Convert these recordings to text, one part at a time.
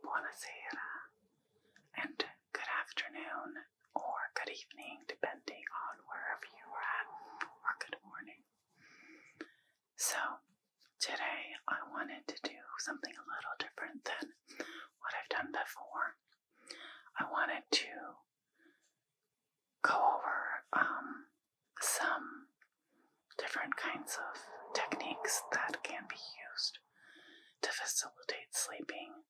buonasera, and good afternoon or good evening, depending on wherever you are at, or good morning. So, today I wanted to do something a little different than what I've done before. I wanted to go over um, some different kinds of techniques that can be used to facilitate sleeping.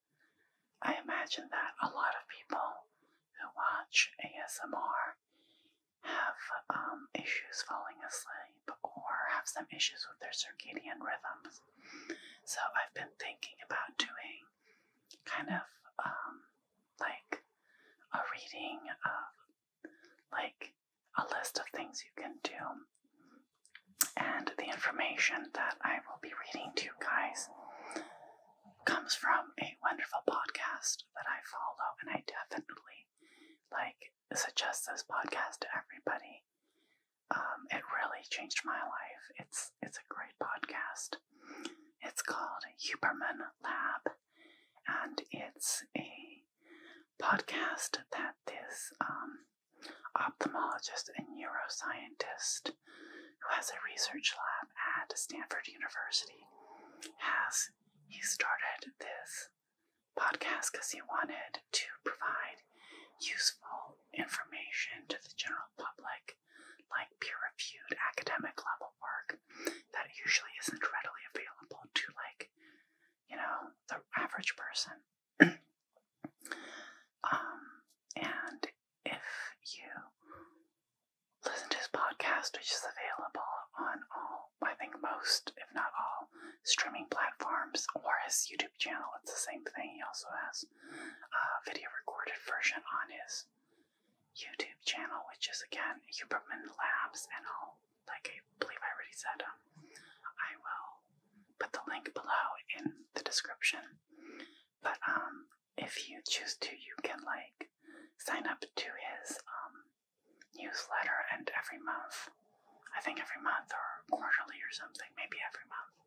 I imagine that a lot of people who watch ASMR have um, issues falling asleep or have some issues with their circadian rhythms. So I've been thinking about doing kind of um, like a reading of like a list of things you can do. And the information that I will be reading to you guys comes from a wonderful podcast that I follow, and I definitely like suggest this podcast to everybody. Um, it really changed my life. It's it's a great podcast. It's called Huberman Lab, and it's a podcast that this um, ophthalmologist, and neuroscientist who has a research lab at Stanford University, has he started this podcast because he wanted to provide useful information to the general public, like peer-reviewed academic level work that usually isn't readily available to like, you know, the average person. um, and if you listen to his podcast, which is available on all, I think most, if not all, streaming platforms, or his YouTube channel, it's the same thing. He also has a video recorded version on his YouTube channel, which is again Huberman Labs, and I'll like a believe I already said. Um, I will put the link below in the description. But um, if you choose to, you can like sign up to his um newsletter, and every month, I think every month or quarterly or something, maybe every month,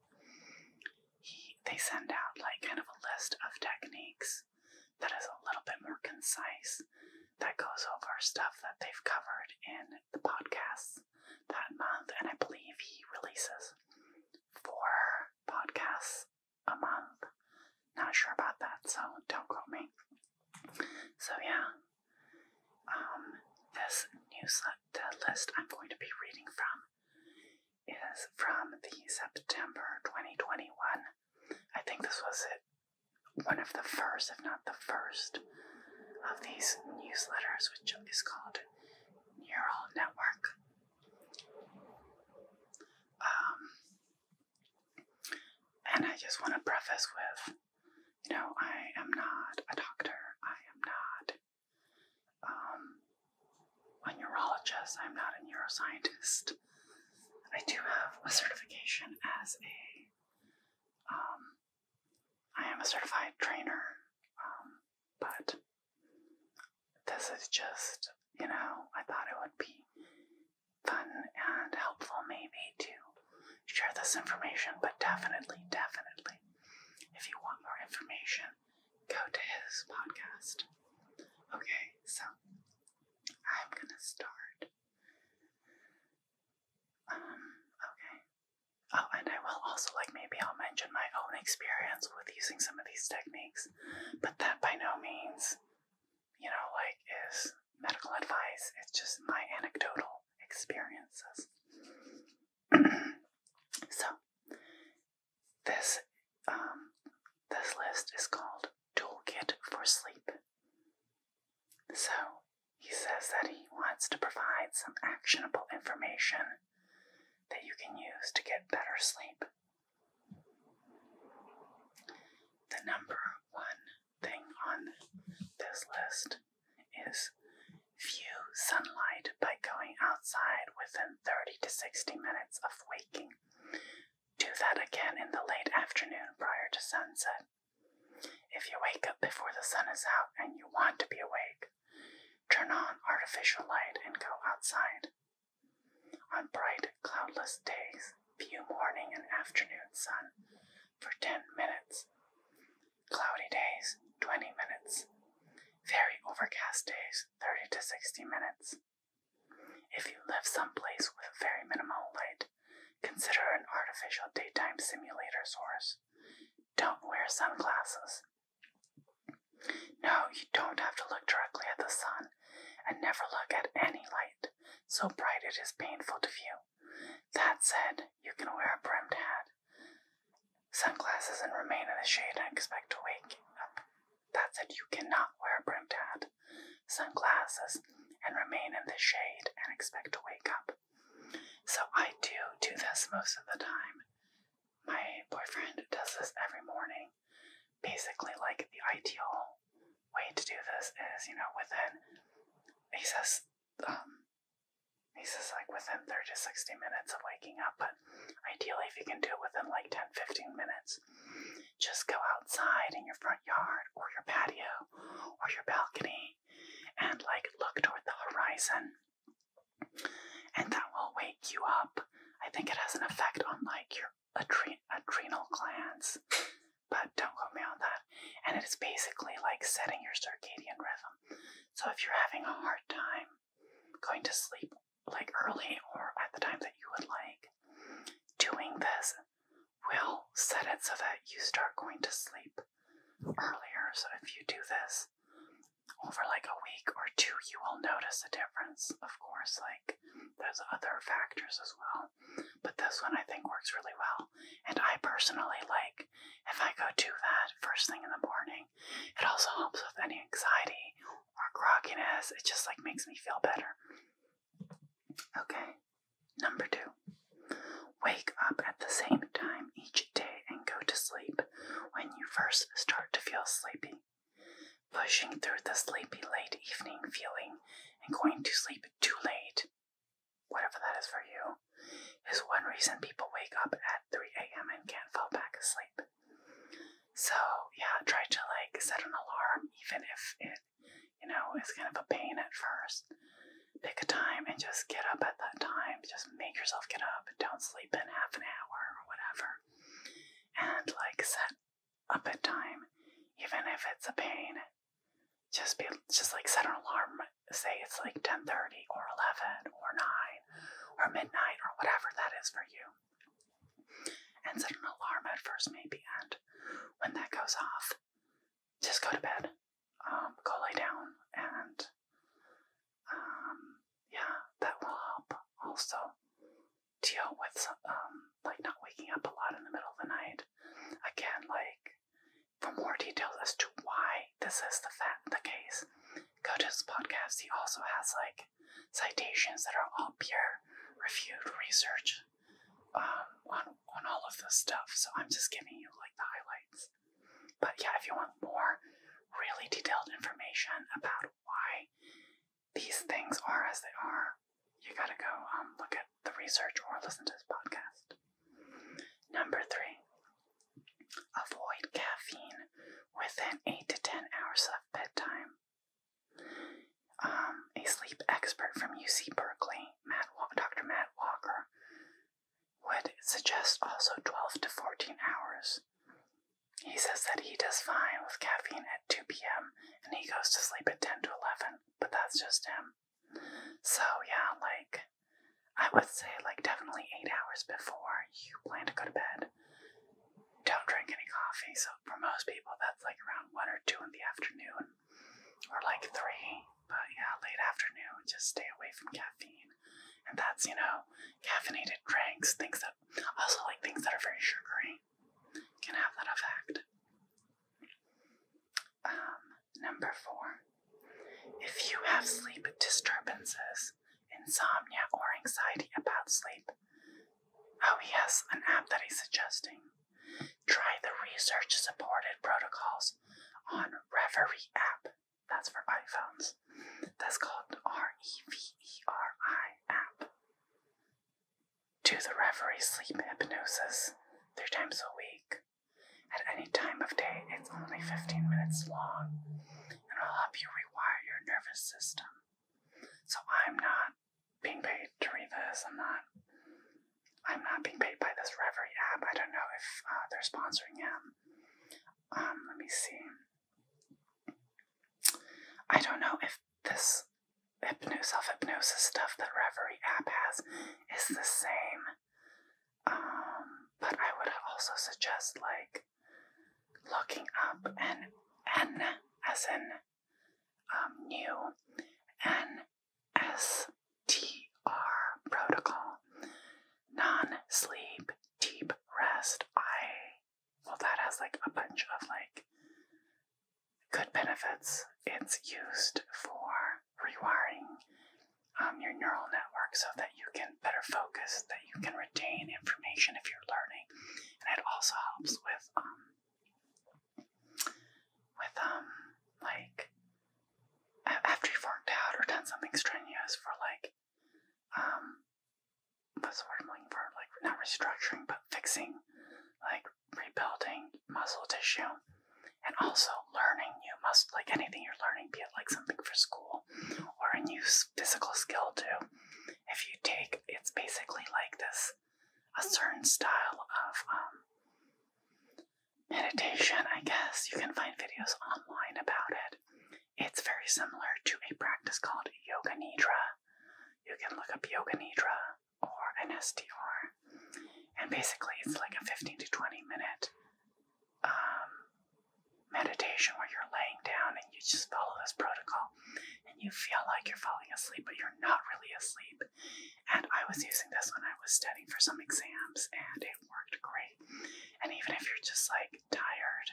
he they send out like kind of a list of techniques that is a little bit more concise that goes over stuff that they've covered in the podcasts that month, and I believe he releases four podcasts a month. Not sure about that, so don't quote me. So yeah, um, this newsletter list I'm going to be reading from is from the September 2021. I think this was one of the first, if not the first, of these newsletters, which is called Neural Network. Um, and I just want to preface with you know, I am not a doctor, I am not um, a neurologist, I'm not a neuroscientist. I do have a certification as a um, I am a certified trainer, um, but this is just, you know, I thought it would be fun and helpful maybe to share this information, but definitely, definitely, if you want more information, go to his podcast. Okay, so I'm gonna start. Um, okay, Oh, and I will also, like, maybe I'll mention my own experience with using some of these techniques, but that by no means, you know, like, is medical advice. It's just my anecdotal experiences. so, this um, this list is called Toolkit for Sleep. So, he says that he wants to provide some actionable information that you can use to get better sleep. The number one thing on this list is view sunlight by going outside within 30 to 60 minutes of waking. Do that again in the late afternoon prior to sunset. If you wake up before the sun is out and you want to be awake, turn on artificial light, and go outside. On bright, cloudless days, view morning and afternoon sun for 10 minutes. Cloudy days, 20 minutes. Very overcast days, 30 to 60 minutes. If you live someplace with very minimal light, consider an artificial daytime simulator source don't wear sunglasses. No, you don't have to look directly at the sun, and never look at any light so bright it is painful to view. That said, you can wear a brimmed hat, sunglasses, and remain in the shade and expect to wake up. That said, you cannot wear a brimmed hat, sunglasses, and remain in the shade and expect to wake up. So I do do this most of the time. My boyfriend does this every morning. Basically, like the ideal way to do this is, you know, within he says, um, he says like within 30 to 60 minutes of waking up, but ideally, if you can do it within like 10 15 minutes, just go outside in your front yard or your patio or your balcony and like look toward the horizon and that will wake you up. I think it has an effect on like your adrenal glands, but don't quote me on that. And it is basically like setting your circadian rhythm. So if you're having a hard time going to sleep like early or at the time that you would like, doing this will set it so that you start going to sleep earlier. So if you do this over like a week or two, you will notice a difference. Of course, like there's other factors as well, but this one I think works really well. And I personally like if I go do that first thing in the morning, it also helps with any anxiety or grogginess. It just like makes me feel better. Okay, number two. Wake up at the same time each day and go to sleep when you first start to feel sleepy. Pushing through the sleepy late evening feeling and going to sleep too late, whatever that is for you, is one reason people wake up at 3 a.m. and can't fall back asleep. So, yeah, try to like set an alarm, even if it, you know, is kind of a pain at first pick a time and just get up at that time. Just make yourself get up don't sleep in half an hour or whatever. And like set up a time, even if it's a pain. Just be just like set an alarm. Say it's like ten thirty or eleven or nine or midnight or whatever that is for you. And set an alarm at first maybe and when that goes off, just go to bed um, go lay down and um, yeah, that will help also deal with um, like not waking up a lot in the middle of the night. Again, like for more details as to why this is the fact the case, go to his podcast. He also has like citations that are all peer reviewed research um, on on all of this stuff. So I'm just giving you like the highlights. But yeah, if you want more really detailed information about why these things are as they are, you gotta go um, look at the research or listen to this podcast. Number three, avoid caffeine within 8 to 10 hours of bedtime. Um, a sleep expert from UC Berkeley, Matt Wa Dr. Matt Walker, would suggest also 12 to 14 hours. He says that he does fine with caffeine at 2 p.m. and he goes to sleep at 10 to 11, but that's just him. So, yeah, like, I would say, like, definitely eight hours before you plan to go to bed. Don't drink any coffee. So, for most people, that's like around 1 or 2 in the afternoon or like 3. But yeah, late afternoon, just stay away from caffeine and that's you know caffeinated drinks, things that also like things that are very sugary can have that effect. Um, number four, if you have sleep disturbances, insomnia, or anxiety about sleep, oh, yes, an app that I'm suggesting. Try the research supported protocols on Reverie app. That's for iPhones. That's called R-E-V-E-R-I app. Do the referee sleep hypnosis three times a week. At any time of day, it's only 15 minutes long and will help you rewire your nervous system. So I'm not being paid to read this. I'm not. I'm not being paid by this Reverie app. I don't know if uh, they're sponsoring him. Um, let me see. I don't know if this hypnosis, self hypnosis stuff that Reverie app has is the same. Um, but I would also suggest like looking up an N as in um, new NSTR protocol non sleep, deep rest. I, well, that has like a bunch of like good benefits. It's used for rewiring um, your neural network so that you can better focus, that you can retain information if you're learning. And it also helps with, um, with, um, like, after you've worked out or done something strenuous for like um what's the I'm looking for? Like not restructuring but fixing, like rebuilding muscle tissue and also learning You must like anything you're learning, be it like something for school or a new physical skill too. If you take it's basically like this a certain style of um meditation, I guess. You can find videos online about it. It's very similar to a practice called Yoga Nidra. You can look up Yoga Nidra or an SDR. And basically, it's like a 15 to 20 minute um, meditation where you're laying down and you just follow this protocol. And you feel like you're falling asleep, but you're not really asleep. And I was using this when I was studying for some exams, and it worked great. And even if you're just like tired,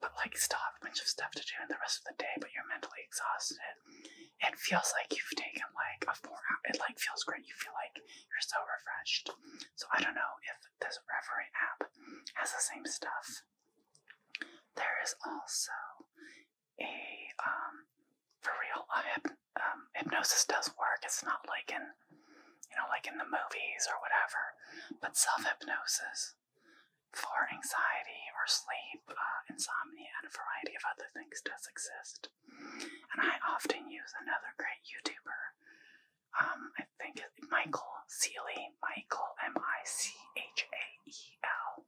but like still have a bunch of stuff to do in the rest of the day, but you're mentally exhausted. It feels like you've taken like a four hour. It like feels great. You feel like you're so refreshed. So I don't know if this Reverie app has the same stuff. There is also a um for real uh, um, hypnosis does work. It's not like an you know, like in the movies or whatever. But self hypnosis for anxiety or sleep, uh, insomnia, and a variety of other things does exist. And I often use another great YouTuber. Um, I think Michael Seeley, Michael M I C H A E L,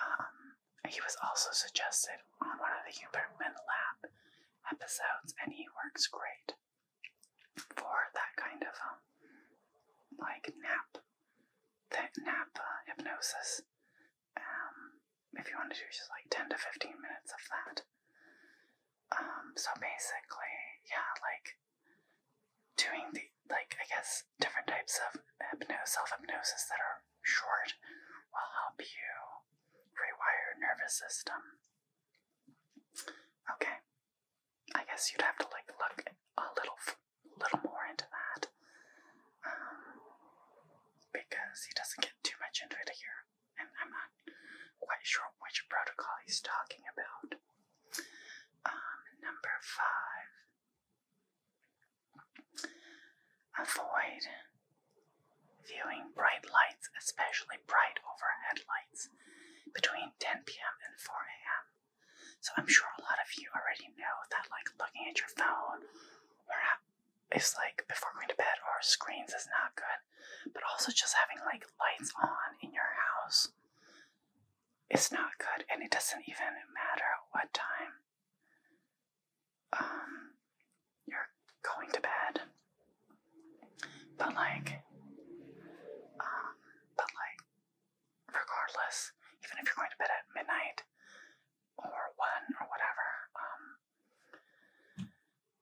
um, he was also suggested on one of the Huberman Lab episodes, and he works great for that kind of um, like nap, that nap uh, hypnosis. Um, if you want to do just like ten to fifteen minutes of that. Um, so basically, yeah, like doing the like I guess different types of hypno self hypnosis that are short will help you cranial rewire nervous system. Okay, I guess you'd have to like look a little, little more into that, um, because he doesn't get too much into it here, and I'm not quite sure which protocol he's talking about. Um, number five, avoid Viewing bright lights, especially bright overhead lights, between 10 p.m. and 4 a.m. So I'm sure a lot of you already know that, like, looking at your phone or it's like before going to bed or screens is not good, but also just having like lights on in your house is not good, and it doesn't even matter what time um, you're going to bed, but like, um, but like, regardless, even if you're going to bed at midnight or one or whatever, um,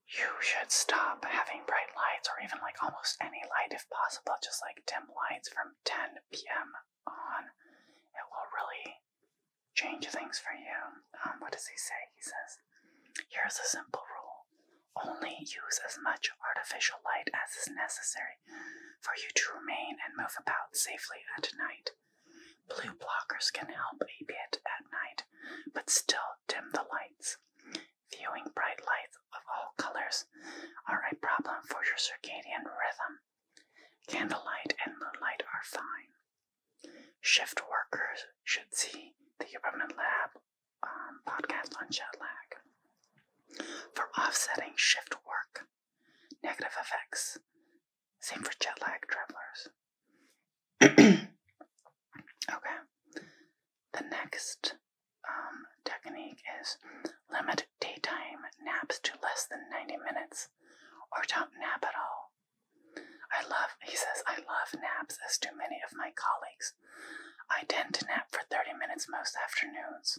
you should stop having bright lights or even like almost any light if possible, just like dim lights from 10 p.m. on. It will really change things for you. Um, what does he say? He says, Here's a simple rule only use as much artificial light as is necessary for you to remain and move about safely at night. Blue blockers can help a bit at night, but still dim the lights. Viewing bright lights of all colors are a problem for your circadian rhythm. Candlelight and moonlight are fine. Shift workers should see the Permanent Lab um, podcast on jet lag for offsetting shift work negative effects. Same for jet lag travelers. okay. The next um, technique is limit daytime naps to less than 90 minutes or don't nap at all. I love, he says, I love naps as do many of my colleagues. I tend to nap for 30 minutes most afternoons,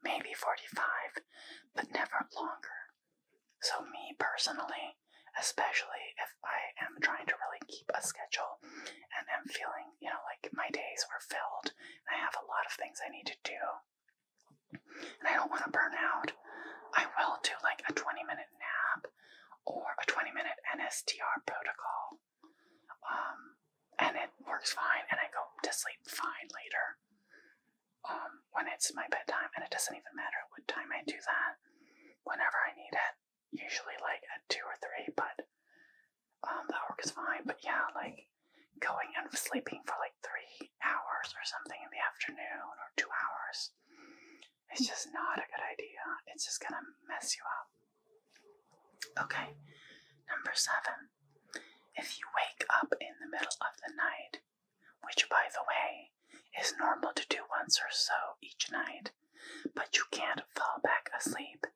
maybe 45, but never longer. So, me personally, especially if I am trying to really keep a schedule and am feeling, you know, like my days are filled and I have a lot of things I need to do and I don't want to burn out, I will do like a 20 minute nap or a 20 minute NSTR protocol. Um, and it works fine, and I go to sleep fine later um, when it's my bedtime, and it doesn't even matter what time I do that. Whenever I need it, usually like at 2 or 3, but um, that works fine. But yeah, like going and sleeping for like 3 hours or something in the afternoon or 2 hours it's just not a good idea. It's just gonna mess you up. Okay, number seven. If you wake up in the middle of the night, which by the way is normal to do once or so each night, but you can't fall back asleep,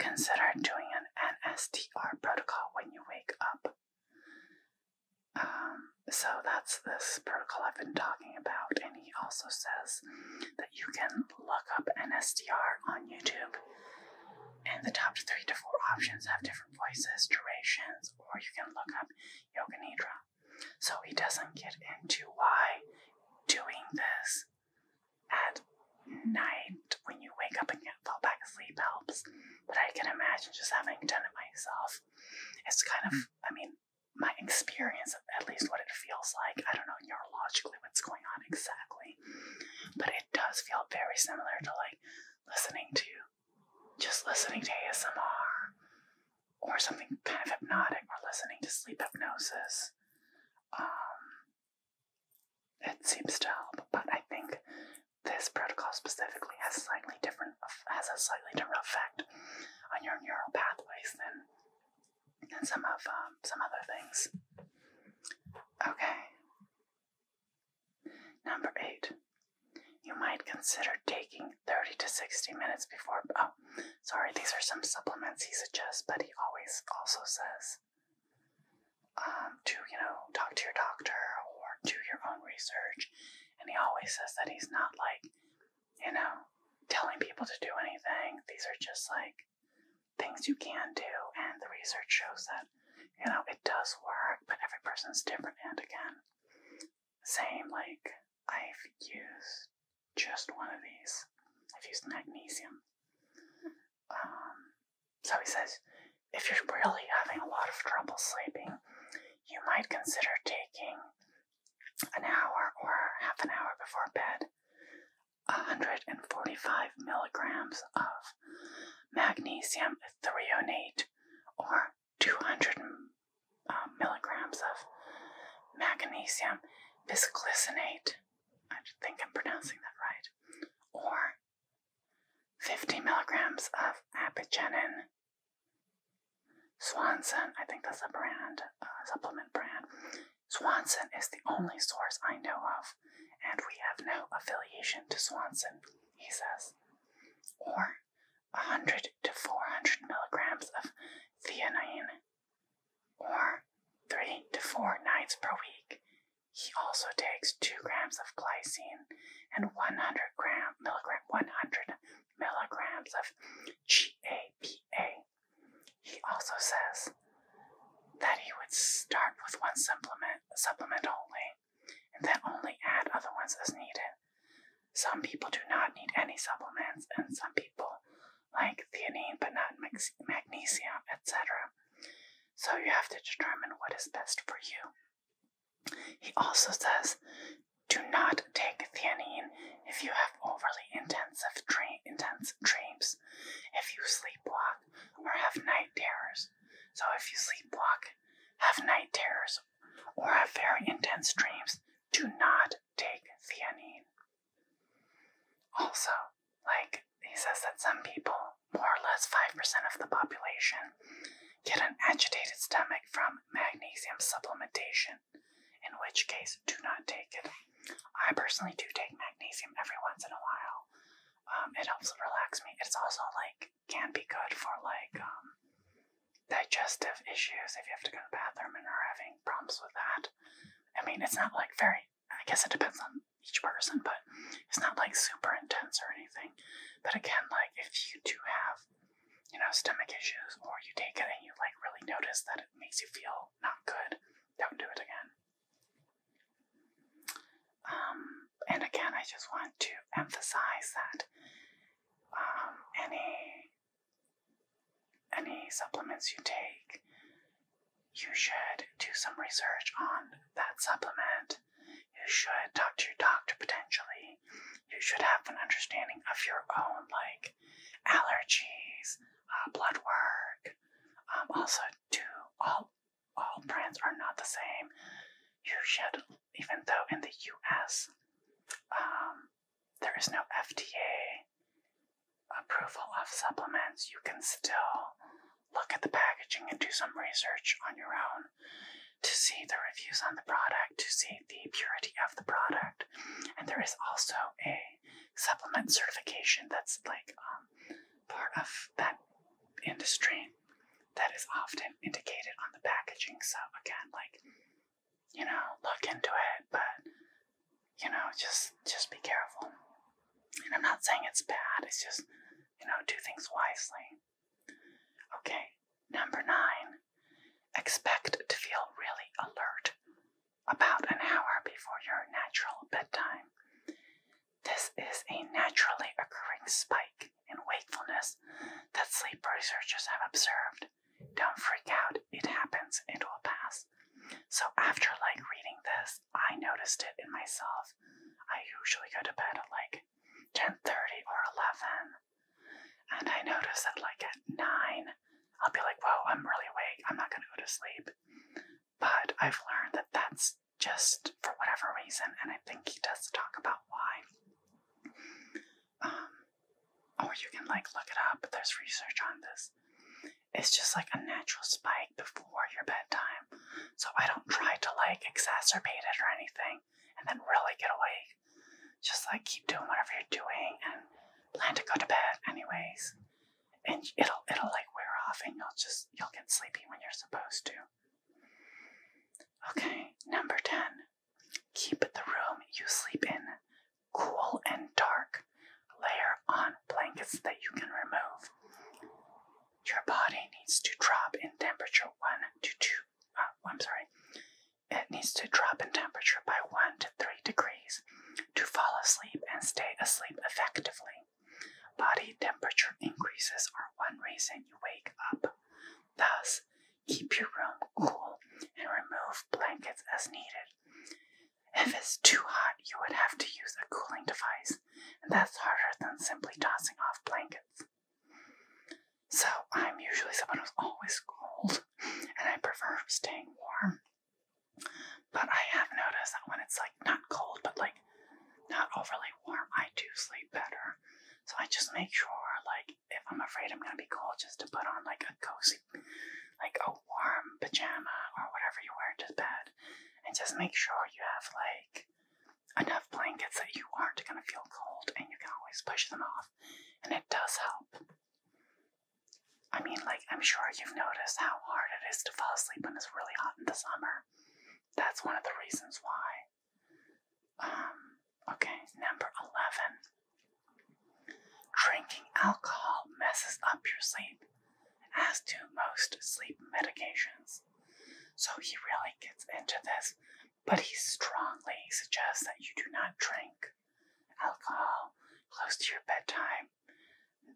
consider doing an NSTR protocol when you wake up. Um, so that's this protocol I've been talking about, and he also says that you can look up NSDR on YouTube, and the top three to four options have different voices, durations, or you can look up Yoga Nidra. So he doesn't get into why doing this at night when you wake up and fall back asleep helps, but I can imagine just having done it myself. It's kind of, I mean, my experience of at least what it feels like. I don't know neurologically what's going on exactly, but it does feel very similar to like listening to just listening to ASMR or something kind of hypnotic or listening to sleep hypnosis. Um, it seems to help, but I think this protocol specifically has slightly different has a slightly different effect on your neural pathways than than some of um, some other things. Okay. Number eight. You might consider taking 30 to 60 minutes before. Oh, sorry, these are some supplements he suggests, but he always also says um, to, you know, talk to your doctor or do your own research. And he always says that he's not like you know, telling people to do anything. These are just like things you can do, and the research shows that, you know, it does work, but every person's different. And again, same, like, I've used just one of these, I've used magnesium. Um, so he says, if you're really having a lot of trouble sleeping, you might consider taking an hour or half an hour before bed, 145 milligrams of magnesium threonate oh or 200 uh, milligrams of magnesium bisglycinate. I think I'm pronouncing that right. Or 50 milligrams of apigenin Swanson, I think that's a brand, uh, supplement brand. Swanson is the only source I know of, and we have no affiliation to Swanson, he says. Or 100 to 400 milligrams of theanine, or 3 to 4 nights per week. He also takes 2 grams of glycine and 100 gram, milligram, 100 milligrams of GABA. A. He also says that he would start with one supplement, supplement only, and then only add other ones as needed. Some people do not need any supplements, and some people like theanine but not magnesium, etc. So you have to determine what is best for you. He also says do not take theanine if you have overly intensive intense dreams, if you sleep block, or have night terrors. So, if you sleep block, have night terrors, or have very intense dreams, do not take theanine. Also, like he says that some people, more or less 5% of the population, get an agitated stomach from magnesium supplementation in which case do not take it. I personally do take magnesium every once in a while. Um, it helps relax me. It's also like can be good for like um, digestive issues if you have to go to the bathroom and are having problems with that. I mean, it's not like very. I guess it depends on each person, but it's not like super intense or anything. But again, like if you do have you know, stomach issues, or you take it and you like really notice that it makes you feel not good, don't do it again. Um, and again, I just want to emphasize that um, any any supplements you take, you should do some research on that supplement. You should talk to your doctor potentially you should have an understanding of your own like allergies, uh, blood work. Um, also, do all all brands are not the same. You should, even though in the U.S. Um, there is no FDA approval of supplements, you can still look at the packaging and do some research on your own to see the reviews on the product, to see the purity of the product, and there is also a supplement certification that's like um, part of that industry that is often indicated on the packaging. So, again, like, you know, look into it, but you know, just just be careful. And I'm not saying it's bad, it's just, you know, do things wisely. Okay, number nine, expect to feel really alert about an hour before your natural bedtime. This is a naturally occurring spike in wakefulness that sleep researchers have observed. Don't freak out, it happens, it will pass. So, after like reading this, I noticed it in myself. I usually go to bed at like 10:30 or 11, and I noticed that like at 9, I'll be like, whoa, I'm really awake. I'm not going to go to sleep. But I've learned that that's just for whatever reason, and I think he does talk about why. Um, or you can like look it up, there's research on this. It's just like a natural spike before your bedtime. So I don't try to like exacerbate it or anything and then really get awake. Just like keep doing whatever you're doing and plan to go to bed anyways. And it'll it'll like wear off and you'll just you'll get sleepy when you're supposed to. Okay, number 10. Keep the room you sleep in cool and dark. Layer on blankets that you can remove. Your body needs to drop in temperature 1 to 2. Uh, I'm sorry. It needs to drop in temperature by 1 to 3 degrees to fall asleep and stay asleep effectively. Body temperature increases are one reason you wake up. Thus, keep your room cool and remove blankets as needed. If it's too hot, you would have to use a cooling device, and that's harder than simply tossing off blankets. So, I'm usually someone who's always cold, and I prefer staying warm. But I have noticed that when it's like not cold, but like not overly warm, I do sleep better. So I just make sure, like, if I'm afraid I'm gonna be cold, just to put on like a cozy, like a warm pajama or whatever you wear to bed, and just make sure you have like enough blankets that you aren't gonna feel cold, and you can always push them off, and it does help. I mean, like, I'm sure you've noticed how hard it is to fall asleep when it's really hot in the summer. That's one of the reasons why. Um, okay, number 11. Drinking alcohol messes up your sleep, as do most sleep medications. So he really gets into this, but he strongly suggests that you do not drink alcohol close to your bedtime,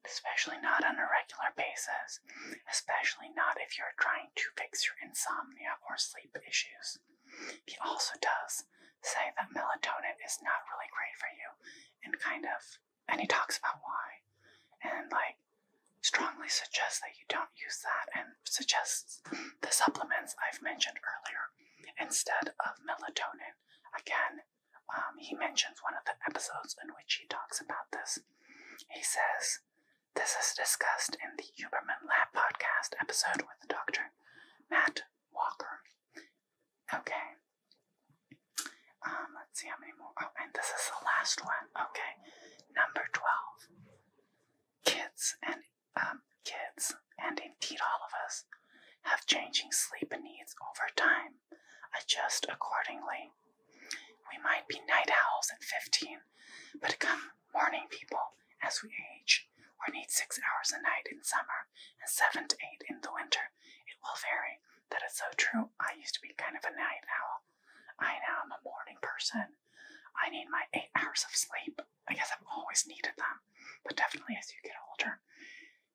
especially not on a regular basis, especially not if you're trying to fix your insomnia or sleep issues. He also does say that melatonin is not really great for you and kind of and he talks about why and like strongly suggests that you don't use that and suggests the supplements I've mentioned earlier instead of melatonin. Again, um, he mentions one of the episodes in which he talks about this. He says, This is discussed in the Huberman Lab podcast episode with the Dr. Matt Walker. Okay. Um, let's see how many more. Oh, and this is the last one. Okay. Number 12. Kids and um, kids and indeed all of us, have changing sleep needs over time. Adjust accordingly. We might be night owls at 15, but come morning people as we age, or need six hours a night in summer and seven to eight in the winter. It will vary. That is so true. I used to be kind of a night owl. I know i am a morning person. I need my eight hours of sleep. I guess I've always needed them, but definitely as you get older,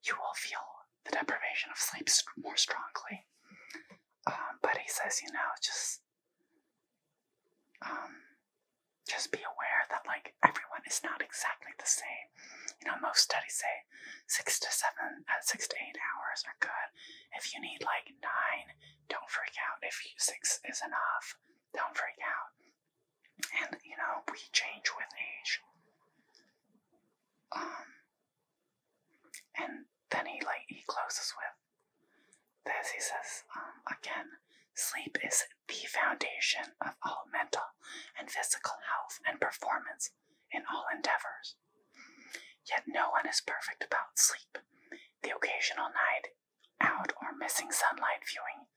you will feel the deprivation of sleep more strongly. Um, but he says, you know, just um, just be aware that like everyone is not exactly the same. You know, most studies say six to seven, at uh, six to eight hours are good. If you need like nine, don't freak out. If you, six is enough, don't freak out. And, you know, we change with age. Um, and then he like he closes with this. He says, um, again, sleep is the foundation of all mental and physical health and performance in all endeavors. Yet no one is perfect about sleep. The occasional night out or missing sunlight viewing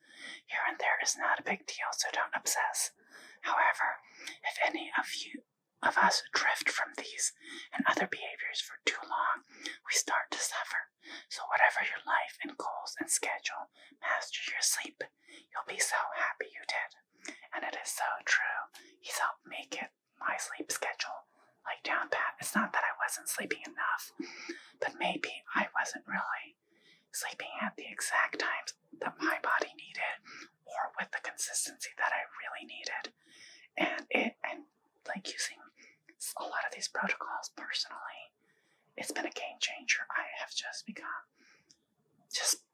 here and there is not a big deal, so don't obsess. However, if any of you of us drift from these and other behaviors for too long, we start to suffer. So whatever your life and goals and schedule, master your sleep. You'll be so happy you did. And it is so true. He's helped make it my sleep schedule. Like down pat. It's not that I wasn't sleeping enough, but maybe I wasn't really sleeping at the exact times that my body needed or with the consistency that I really needed. And it and like using a lot of these protocols personally, it's been a game changer. I have just become just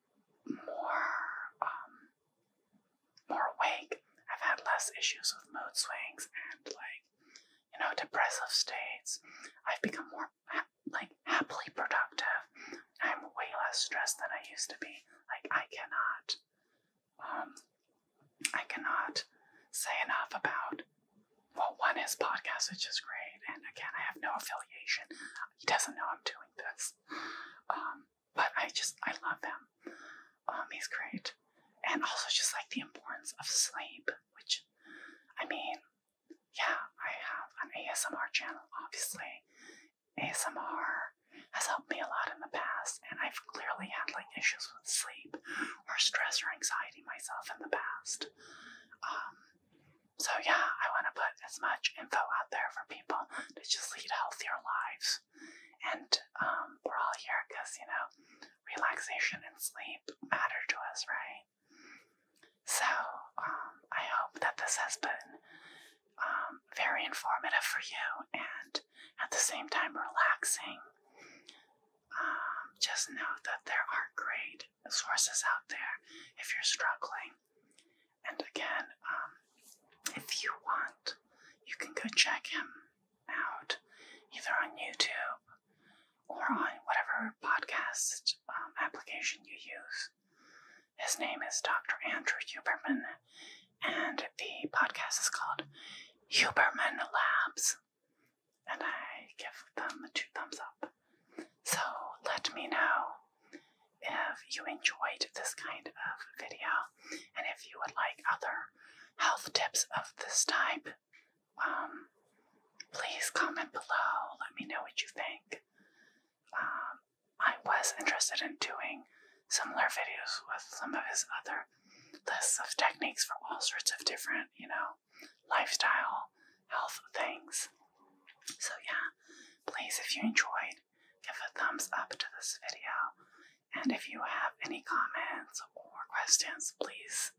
more um more awake. I've had less issues with mood swings and like you know depressive states. I've become more like happily productive. I'm way less stressed than I used to be. Like I cannot, um, I cannot say enough about. Well, one is podcast, which is great, and again, I have no affiliation. He doesn't know I'm doing this, um, but I just I love him. Um, he's great, and also just like the importance of sleep, which, I mean, yeah, I have an ASMR channel, obviously. ASMR has helped me a lot in the past, and I've clearly had like issues with sleep or stress or anxiety myself in the past. Um, so yeah, I want to put as much info out there for people to just lead healthier lives. And um, we're all here because you know, relaxation and sleep matter to us, right? So um, I hope that this has been um, very informative for you and at the same time relaxing. Um, just know that there are great sources out there if you're struggling. And again, if you want, you can go check him out either on YouTube or on whatever podcast application you use. His name is Dr. Andrew Huberman, and the podcast is called Huberman Labs. And I give them two thumbs up. So let me know if you enjoyed this kind of video and if you would like other health tips of this type. Um, please comment below. Let me know what you think um, I was interested in doing similar videos with some of his other lists of techniques for all sorts of different, you know, lifestyle, health things. So, yeah, please, if you enjoyed, give a thumbs up to this video. And if you have any comments or questions, please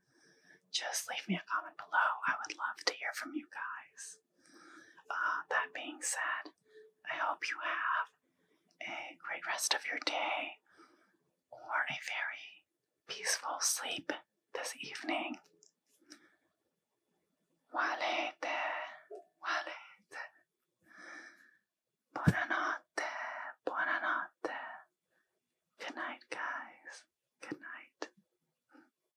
just leave me a comment below. I would love to hear from you guys. Uh, that being said, I hope you have a great rest of your day or a very peaceful sleep this evening. Buonanotte, buonanotte. Good night, guys. Good night.